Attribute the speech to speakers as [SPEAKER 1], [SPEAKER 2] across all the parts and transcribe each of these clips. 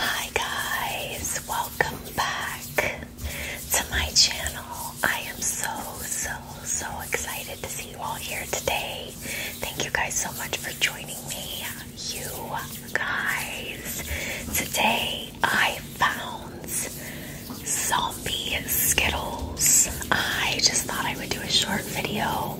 [SPEAKER 1] Hi guys, welcome back to my channel. I am so, so, so excited to see you all here today. Thank you guys so much for joining me you guys. Today I found zombie Skittles. I just thought I would do a short video.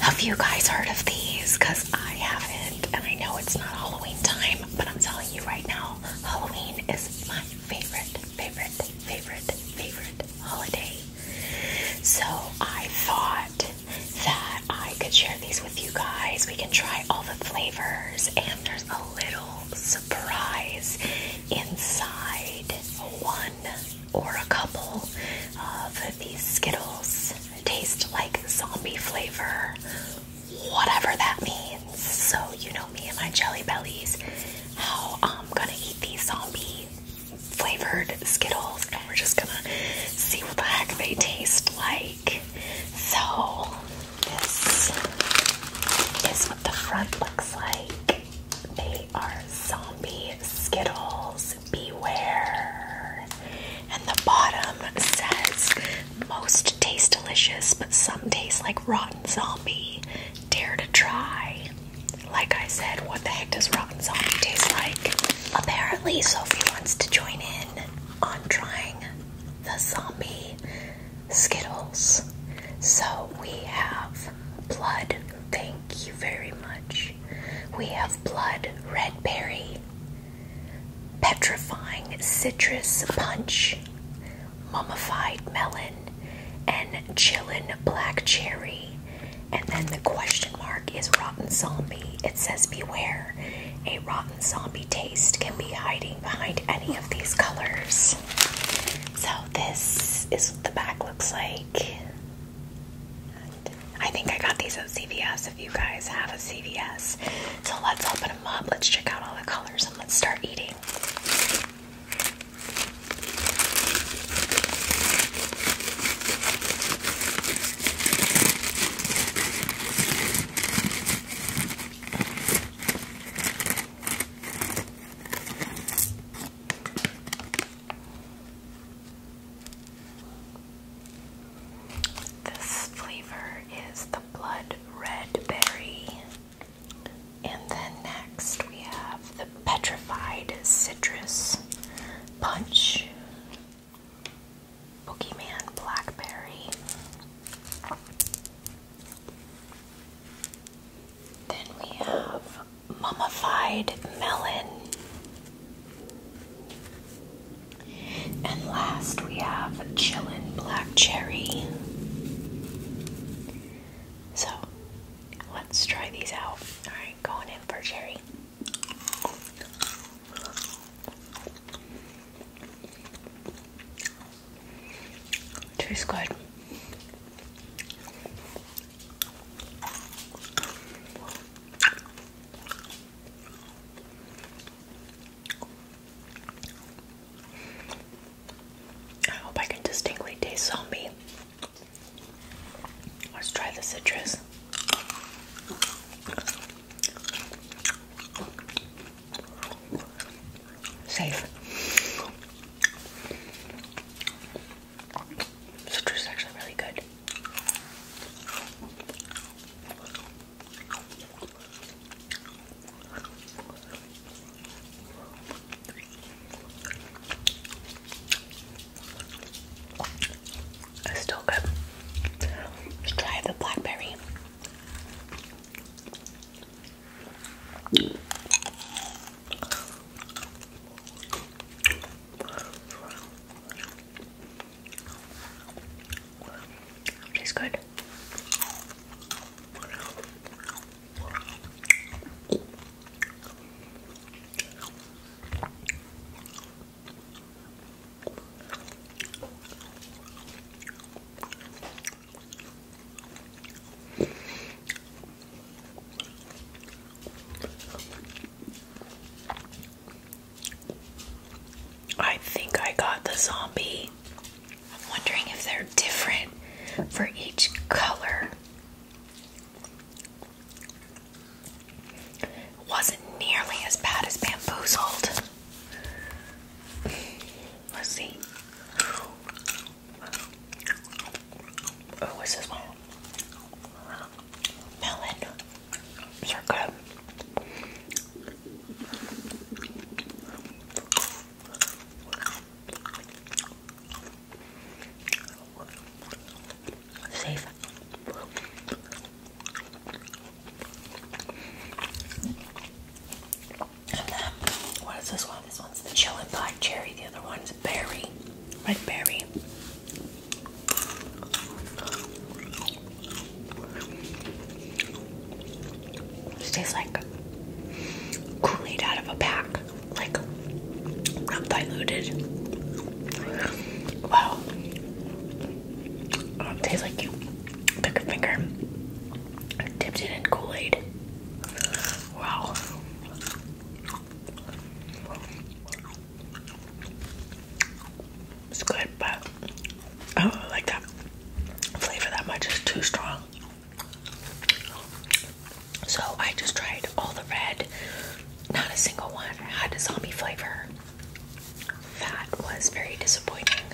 [SPEAKER 1] Have you guys heard of these? Because I haven't, and I know it's not Halloween time, but I'm telling you right now, Halloween is my favorite, favorite, favorite, favorite holiday. So I thought that I could share these with you guys. We can try all the flavors, and there's a little surprise inside one or a couple of these Skittles. Taste like zombie flavor, whatever that means. So, you know me and my jelly bellies, how I'm gonna eat these zombies flavored Skittles, and we're just gonna see what the heck they taste like. So, this is what the front looks like. They are zombie Skittles, beware. And the bottom says, most taste delicious, but some taste like rotten zombie. Dare to try. Like I said, what the heck does rotten zombie taste like? Apparently, Sophie wants to join in on trying the zombie Skittles. So we have blood, thank you very much. We have blood, red berry, petrifying citrus punch, mummified melon, and chillin' black cherry, and then the question mark is rotten zombie. It says beware. A rotten zombie taste can be hiding behind any of these colors. So this is what the back looks like. I think I got these at CVS if you guys have a CVS. So let's open them up. Let's check out all the colors and let's start eating. This flavor is the blood red berry. And then next we have the petrified citrus punch Pokemon Blackberry. Then we have Mummified Melon. And last we have Chillin' Black Cherry. So let's try these out. Alright, going in for cherry. Tastes good. I hope I can distinctly taste zombie. Let's try the citrus. Safe. Citrus is actually really good. It's still good. Let's try the blackberry. Tastes good. I think I got the zombie. I'm wondering if they're different for each color. Wasn't nearly as bad as bamboozled. Let's see. Oh, what's this one? Melon. These are good. Safe. what is this one? This one's the chillin' black cherry. The other one's berry, red berry. This tastes like Kool-Aid out of a pack like not diluted. Wow. tastes like you took a finger, dipped it in Kool-Aid. Wow. It's good, but I don't like that flavor that much. It's too strong. So I just tried all the red, not a single one had a zombie flavor. That was very disappointing.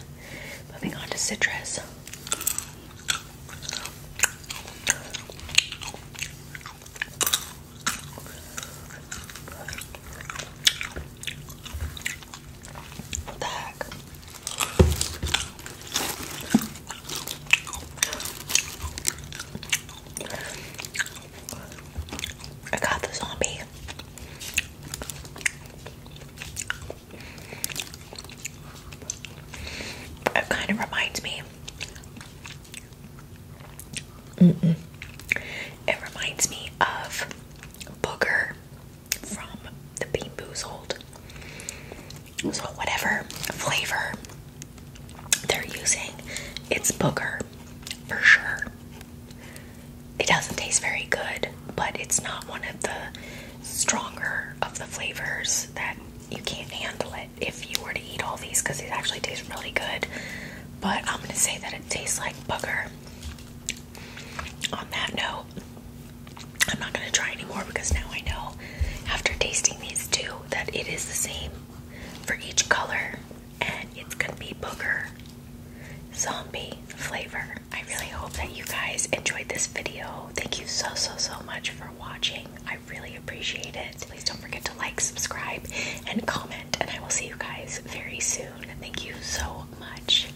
[SPEAKER 1] Moving on to citrus. I got the zombie. It kind of reminds me. Mm -mm. It reminds me of Booger from the Bean Boozled. So whatever flavor they're using, it's booger for sure. It doesn't taste very good, but it's not one of the stronger of the flavors that you can't handle it if you were to eat all these because it actually tastes really good. But I'm gonna say that it tastes like booger. On that note, I'm not gonna try anymore because now I know after tasting these two that it is the same for each color, and it's gonna be booger zombie flavor. I really hope that you guys enjoyed this video. Thank you so so so much for watching. I really appreciate it. Please don't forget to like, subscribe, and comment, and I will see you guys very soon. Thank you so much.